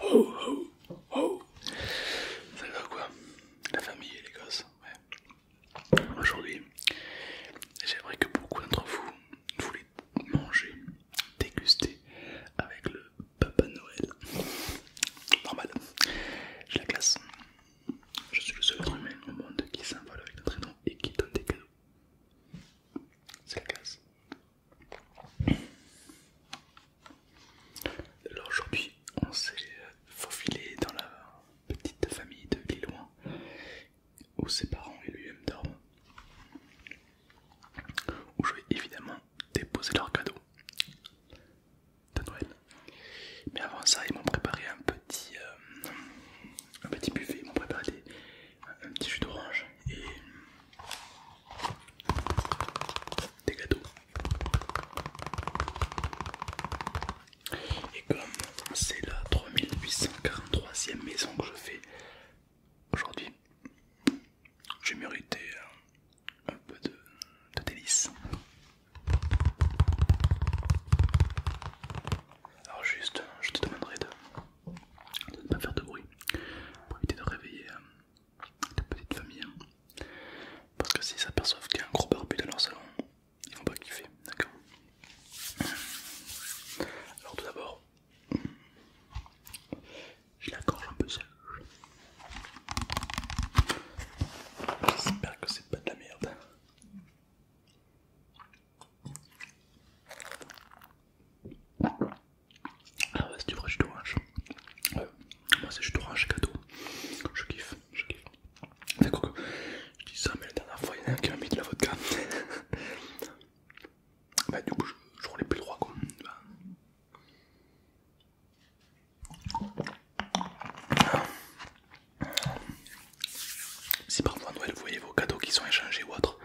Oh, oh, Ça va quoi La famille et les gosses ouais. Aujourd'hui, j'aimerais que beaucoup d'entre vous voulaient manger, déguster avec le Papa Noël. Normal, Je la classe. Je suis le seul être humain au monde qui s'envole avec notre nom et qui donne des cadeaux. C'est la classe. Alors aujourd'hui, on s'est euh, faufilé dans la petite famille de Lilloin où ses parents et lui-même dorment, où je vais évidemment déposer leurs cadeaux de Noël. Mais avant ça, ils m'ont préparé un petit, euh, un petit buffet, m'ont préparé des, un petit jus d'orange et des gâteaux. Et comme c'est la 3843e maison que je fais aujourd'hui, j'ai mérité un peu de, de Alors juste, je te demanderai de de ne pas faire de bruit pour éviter de réveiller euh, les petites petite famille. Hein. Parce que s'ils s'aperçoivent qu'il y a un gros barbu dans leur salon, ils vont pas kiffer, d'accord Alors tout d'abord, je la gorge un peu sèche. J'espère que c'est pas de la merde. Ah ouais, c'est du vrai jus d'orange. moi c'est jus d'orange cadeau. Je kiffe, je kiffe. D'accord que je dis ça, mais la dernière fois il y a un qui m'a mis de la vodka. bah, du coup, je, roule roulais plus le droit quoi. Bah. Si parfois Noël vous voyez vos cadeaux qui sont échangés ou autre,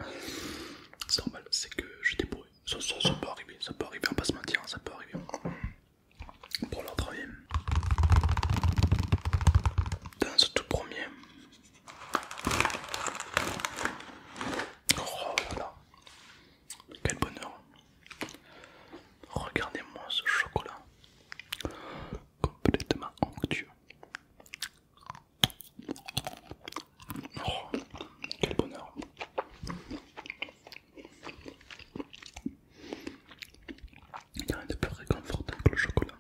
c'est normal, c'est que j'ai bourré. Ça, ça, peut arriver, ça peut arriver, on va se mentir, ça peut arriver. Pour l'ordre, Dans ce tout premier. Oh là là, quel bonheur. Regardez-moi ce chocolat. Complètement onctueux. Oh, quel bonheur. Il n'y a rien de plus réconfortant que le chocolat.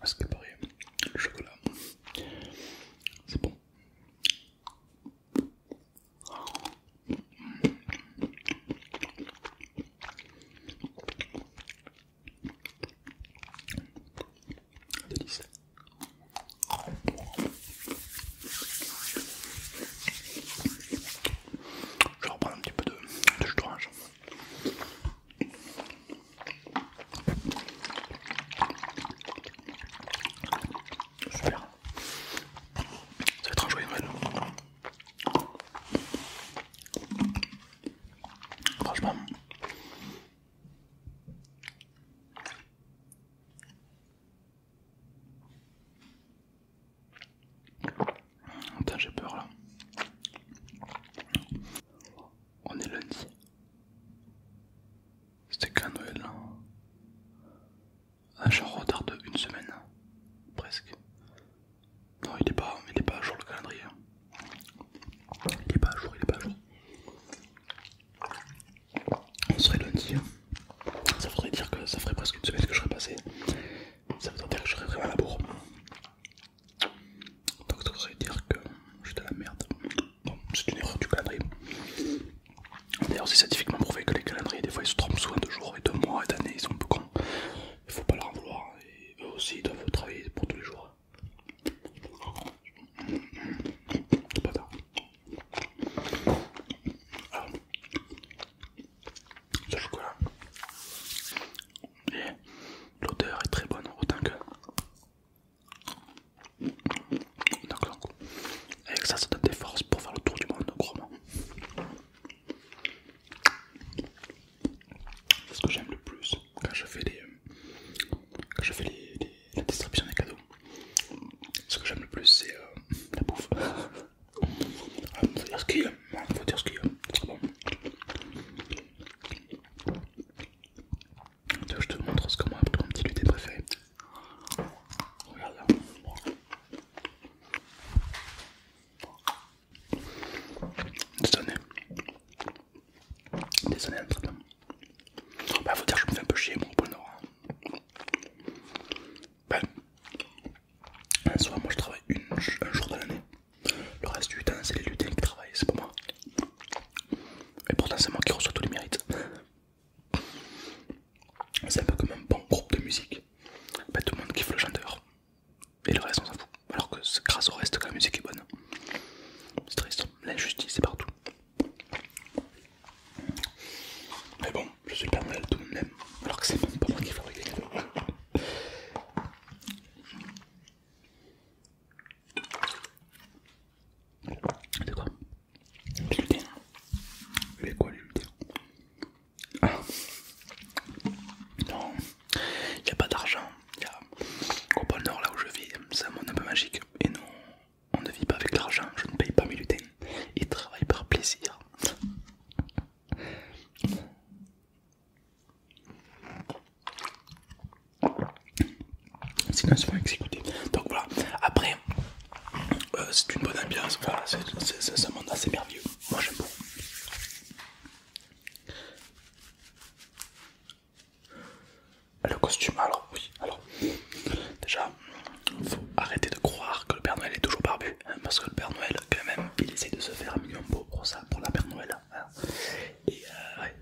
parce que pareil, le chocolat, c'est bon. Je vais reprendre un petit peu de, de jus d'orange. Super. Ça va être un joyeux Noël. Franchement, Putain, j'ai peur là. On est lundi. C'était qu'un Noël là. Hein. Ah, je retarde une semaine. Presque. Non, il est pas, il est pas à jour le calendrier. Il est pas à jour, il est pas à jour on serait lundi, hein. ça voudrait dire que ça ferait presque une semaine que je serais passé, ça voudrait dire que je serais vraiment à la bourre. Donc ça voudrait dire que j'étais à la merde. Bon, c'est une erreur du calendrier. D'ailleurs, c'est scientifiquement prouvé que les calendriers, des fois, ils se trompent souvent de jours et de mois et d'années, ils sont un peu cons. Il faut pas leur en vouloir. eux aussi, ils doivent travailler pour tous les jours. Pas tard. Alors, chocolat. Et l'odeur est très bonne, autant que. D'accord. Avec ça, ça donne des forces pour faire le tour du monde, c'est Ce que j'aime le plus, quand je fais les, quand je fais les, la distribution des cadeaux. Ce que j'aime le plus, c'est euh, la bouffe. Il ah, faut dire ce qu'il y a, ah, faut dire ce qu'il y a, bon. je te montre ce que moi, mon petit lutin préféré. Regarde là. Des désolé Oh, bah, faut dire que je me fais un peu chier, mon pôle Nord. Hein. Ben, un moi je travaille une, un jour de l'année. Le reste du temps, c'est les lutins qui travaillent, c'est pas moi. Et pourtant, c'est moi qui reçois tous les mérites. C'est un peu comme un bon groupe de musique. Bah tout le monde kiffe le chanteur. Et le reste, on s'en fout. Alors que grâce au reste que la musique est bonne. C'est triste. L'injustice, c'est partout. Mais bon, je suis Père mal tout de même, alors que c'est même pas moi qui fabrique les cadeaux. C'est quoi Du Mais quoi lui le Ah Non, il n'y a pas d'argent au pôle Nord, là où je vis, c'est un monde un peu magique. Et nous, on ne vit pas avec l'argent, je ne paye pas mes lutins. Et travaille par plaisir. Sinon, ils pas exécuter. Donc voilà, après, euh, c'est une bonne ambiance. c'est un monde assez merveilleux. Moi, j'aime beaucoup. Ah, le costume, alors oui, alors déjà, faut arrêter de croire que le Père Noël est toujours barbu, hein, parce que le Père Noël, quand même, il essaie de se faire un million beau pour ça, pour la Père Noël. Hein. Et euh, ouais.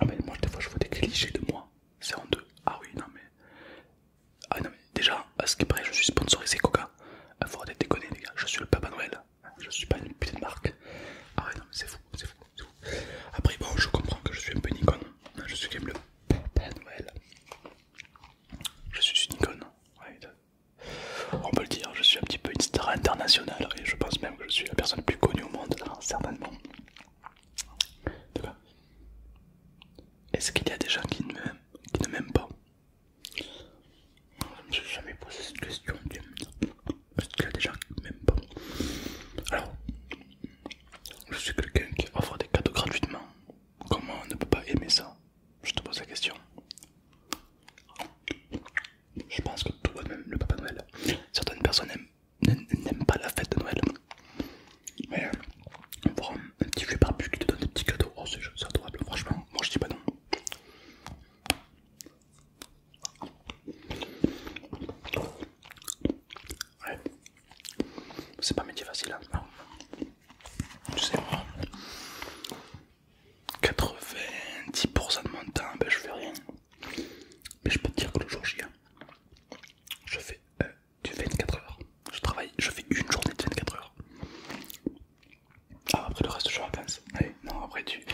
Ah, mais moi, des fois, je vois des clichés de moi, c'est en deux. Ah oui, non, mais. Ah non, mais déjà, à ce qui je suis sponsorisé Coca. Faut arrêter de déconner, les gars, je suis le Papa Noël, je suis pas une putain de marque. Ah ouais, non, mais c'est fou c'est Après, bon, je comprends que je suis un peu une icône. Je suis quand le Noël. Je suis une icône. on peut le dire, je suis un petit peu une star internationale et je pense même que je suis la personne la plus connue au monde, tout hein, certainement. Est-ce qu'il y a des gens qui ne m'aiment pas Je me suis jamais posé cette question parce qu'il y a des gens qui m'aiment pas. Alors, je suis quelqu'un qui offre des cadeaux gratuitement. Comment on ne peut pas aimer ça Je te pose la question. Je pense que tout le monde aime le Papa Noël. Certaines personnes n'aiment pas la fête de Noël. Mais on voir un petit vieux barbu qui te donne des petits cadeaux. Oh, c'est adorable, franchement. Moi je dis pas non. Ouais. C'est pas métier facile, hein. Tu sais, 90% de mon temps, ben, je fais rien. Mais je peux te dire que le jour J, hein, je fais 24 euh, heures. Je travaille, je fais une journée de 24 heures. Ah, après le reste, je vacances. non, après du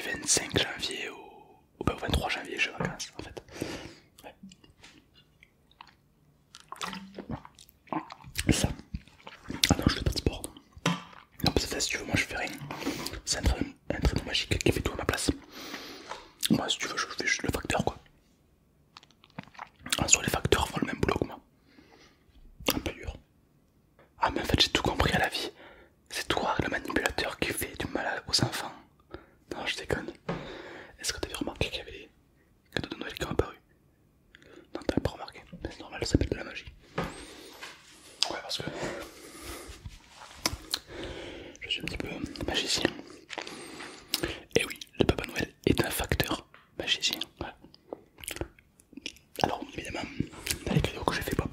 25 janvier au au, 23 bah, janvier, je vacances en fait. Ouais. Ça. Ah non, je fais pas de sport. Non, parce que si tu veux, moi je fais rien. C'est un traîneau magique qui fait tout à ma place. Moi, si tu veux, je fais juste le facteur quoi. En ah, soit les facteurs font le même boulot que moi. Un peu dur. Ah, mais en fait, j'ai tout compris à la vie. C'est toi le manipulateur qui fait du mal aux enfants. Non, je déconne. Est-ce que t'avais remarqué qu'il y avait des cadeaux de Noël qui ont apparu Non, tu t'avais pas remarqué. C'est normal, ça s'appelle de la magie. Ouais, parce que je suis un petit peu magicien. Et eh oui, le Papa Noël est un facteur magicien. Alors, évidemment, dans les cadeaux que j'ai fait, pop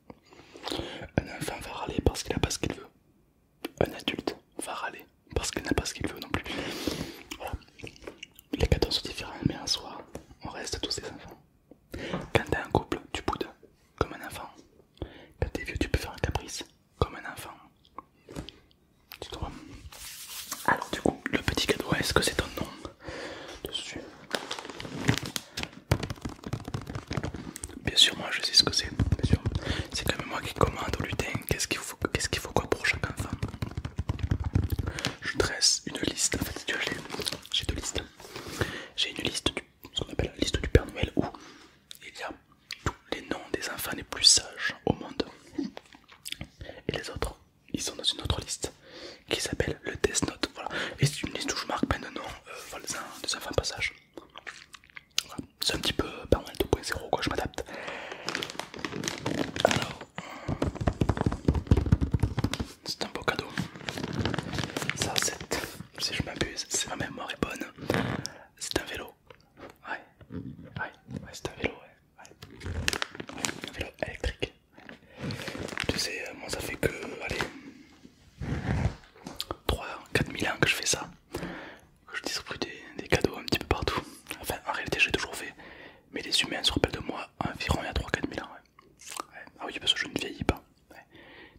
Un enfant va râler parce qu'il n'a pas ce qu'il veut. Un adulte va râler parce qu'il n'a pas ce qu'il veut non plus. Voilà. Les quatorze sont différents, mais en soi, on reste tous des enfants. Quand t'es un couple, tu boudes comme un enfant. Quand t'es vieux, tu peux faire un caprice comme un enfant. Tu comprends Alors, du coup, le petit cadeau, est-ce que c'est ton nom dessus Bien sûr, moi je sais ce que c'est. c'est quand même moi qui commande au lutin. Qu'est-ce qu'il faut, qu'est-ce qu'il faut quoi pour chaque enfant Je dresse une liste. En fait, j'ai deux listes. J'ai une liste ce qu'on appelle la liste du Père Noël où il y a tous les noms des enfants les plus sages au monde. Et les autres, ils sont dans une autre liste qui s'appelle le test Note. Voilà. Et c'est une liste où je marque maintenant euh, de voilà, des enfants de passage C'est un petit peu pas de 2.0 quoi, je m'adapte. Alors, euh, c'est un beau cadeau. Ça, c'est, si je m'abuse, c'est ma mémoire est bonne. C'est un vélo. Ouais, ouais, ouais c'est un vélo, ouais. Un vélo électrique. Tu sais, euh, moi ça fait que, 3-4 000 ans que je fais ça, que je distribue des, cadeaux un petit peu partout. Enfin, en réalité, l'ai toujours fait, mais les humains se rappellent de moi environ il y a 3-4 000 ans. Ah oui, parce que je ne vieillis pas.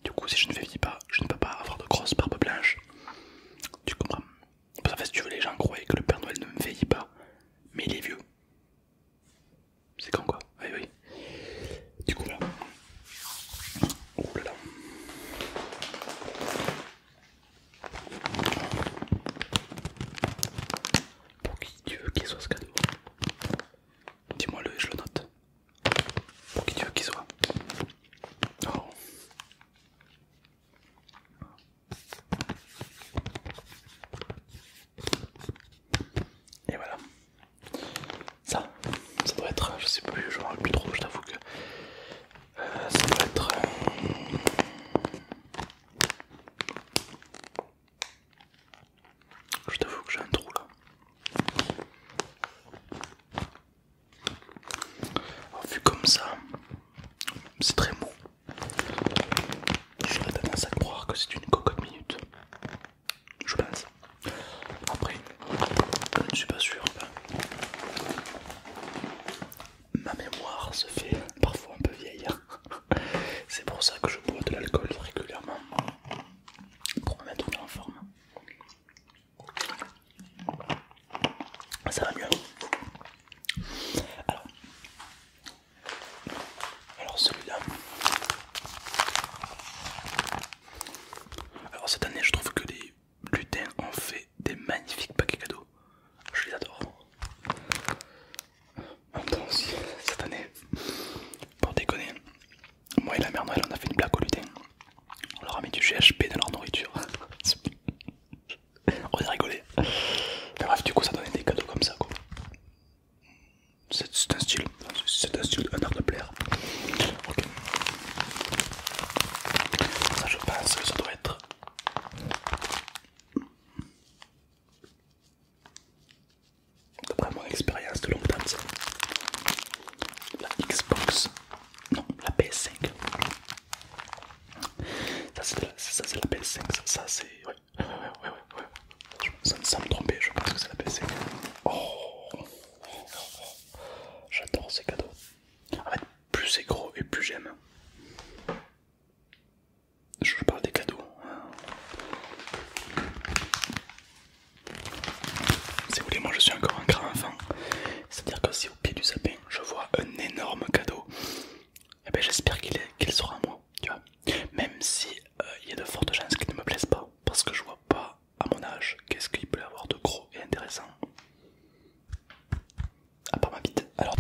Du coup, si je ne vieillis pas, je ne peux pas avoir de grosses barbes blanches. Tu comprends? Parce si tu veux, les gens croient que le Père Noël ne vieillit pas, mais il est vieux. C'est quand quoi ah Oui, oui. Du coup, là. Pour qui tu veux qu'il soit ce cadeau Dis-moi le et je le note. Pour qui tu veux qu'il soit Oh. Et voilà. Ça, ça doit être, je sais plus, genre plus trop, je t'avoue que euh, ça doit être. Euh, je t'avoue que j'ai un trou là. Oh, vu comme ça, c'est très mou. J'aurais tendance à croire que c'est une cocotte minute je pense. Après, je ne suis pas sûr. Ma mémoire se fait parfois un peu vieille. C'est pour ça que je bois de l'alcool régulièrement pour me mettre en forme. Ça va mieux. Alors, alors celui-là, alors cette année je trouve que les lutins ont fait des magnifiques paquets cadeaux. Je les adore. En ah, même temps aussi, cette année, pour déconner, moi et la mère Noël on a fait une blague aux lutins. On leur a mis du GHP dans leur nourriture. on est rigolé. Mais bref du coup ça donnait des cadeaux comme ça c'est un style, c'est un style, un art de plaire. Ok. Ça, je pense que ça doit être. D'après mon expérience de longue date, la Xbox, non, la PS5. Ça, c'est la, PS5, ça, c'est. ouais, ouais, ouais, ouais, ça me semble me tromper, je pense que c'est la PC. J'adore ces cadeaux. En fait, plus c'est gros et plus j'aime. Je parle des cadeaux. Hein. Si vous voulez, moi je suis encore un grand enfant. C'est-à-dire que si au pied du sapin je vois un énorme cadeau, et eh ben, j'espère qu'il sera à moi. Tu vois Même si euh, il y a de fortes chances qu'il ne me plaise pas parce que je vois pas à mon âge qu'est-ce qu'il peut y avoir de gros et intéressant. À part ma bite. Alors,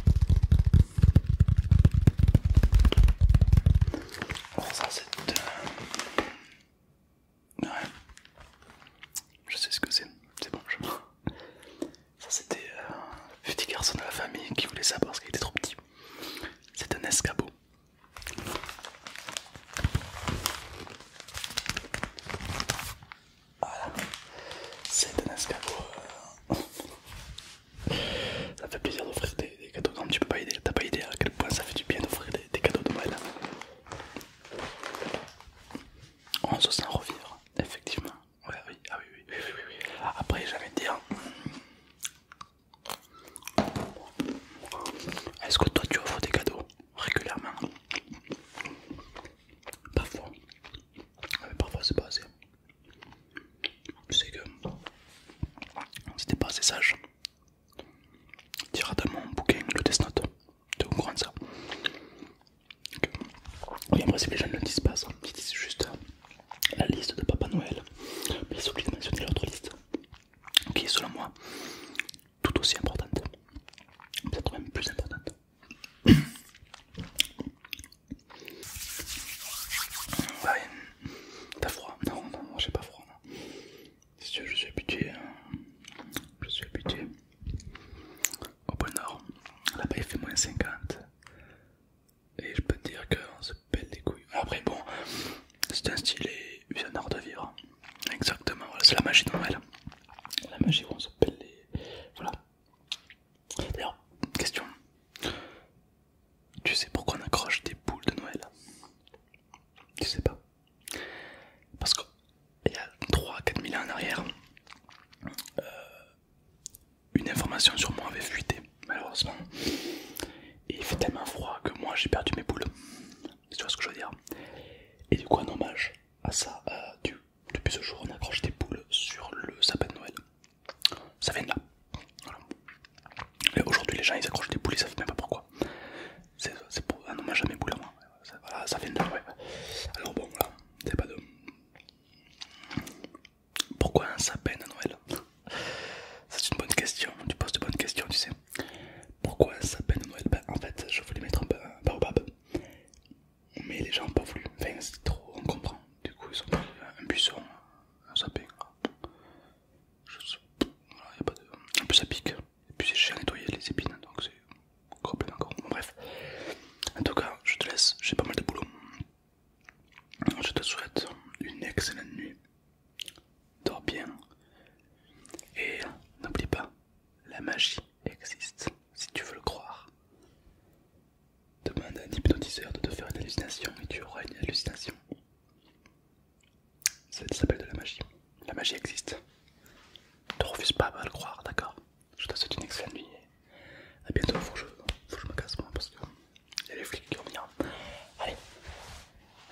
ça c'est... Ouais. Je sais ce que c'est. C'est bon, je Ça c'était un euh, petit garçon de la famille qui voulait ça parce qu'il était trop petit. C'est un escabeau. Voilà, c'est un escabeau. Euh, ça fait plaisir d'offrir des, cadeaux. Non, tu peux pas aider, t'as pas idée à quel point ça fait du bien d'offrir des, cadeaux de Noël. On se sent revivre, effectivement. Ouais, oui, ah, oui, oui, oui, oui, oui. Après, j'avais dire, hein, est-ce que toi tu offres des cadeaux régulièrement Parfois. Mais euh, parfois c'est pas assez. Tu sais que c'était pas assez sage. tirer dans mon bouquin le test note. Tu comprends de ça Oui, en principe les gens ne le disent pas Ils disent juste la liste de Papa Noël. Mais ils oublient de mentionner l'autre liste qui est selon moi tout aussi importante, peut-être même plus importante. Ouais, t'as froid Non, non, moi j'ai pas froid. veux Je suis habitué, hein. je suis habitué au point Nord. Là-bas il fait moins 50 et je peux te dire que Belle les couilles. Après, bon, c'est un style et un de vivre. Exactement, voilà, c'est la magie de Noël. La magie où on se pèle les. Voilà. D'ailleurs, question. Tu sais pourquoi on accroche des boules de Noël Tu sais pas. Parce qu'il y a 3-4 ans en arrière, euh, une information sur moi avait fuité, malheureusement il fait tellement froid que moi j'ai perdu mes boules. Tu vois ce que je veux dire Et du coup, un hommage à ça, euh, depuis ce jour, on accroche des boules sur le sapin de Noël. Ça vient de là. Et aujourd'hui, les gens ils accrochent des boules, ils savent même pas pourquoi. C'est pour un hommage à mes boules à moi. Ça, voilà, ça vient de là, Alors bon, voilà, pas Pourquoi un sapin de Noël C'est une bonne question, tu poses de bonnes questions, tu sais. Pourquoi sapin de Noël ben, En fait, je voulais mettre un, peu, baobab, mais les gens n'ont pas voulu. Enfin, c'est trop, on comprend. Du coup, ils ont pris un buisson, un sapin. En plus, ça pique. Et puis, c'est cher à nettoyer les épines, donc c'est complètement encore. bref, en tout cas, je te laisse. J'ai pas mal de boulot. Je te souhaite une excellente nuit. Dors bien. Et n'oublie pas, la magie existe si tu veux le croire. Demande à un hypnotiseur de te faire une hallucination et tu auras une hallucination. Ça s'appelle de la magie. La magie existe. Ne te refuse pas à le croire, d'accord Je te souhaite une excellente nuit. à bientôt, faut que, je, me casse moi parce que y a les flics qui vont venir. Allez,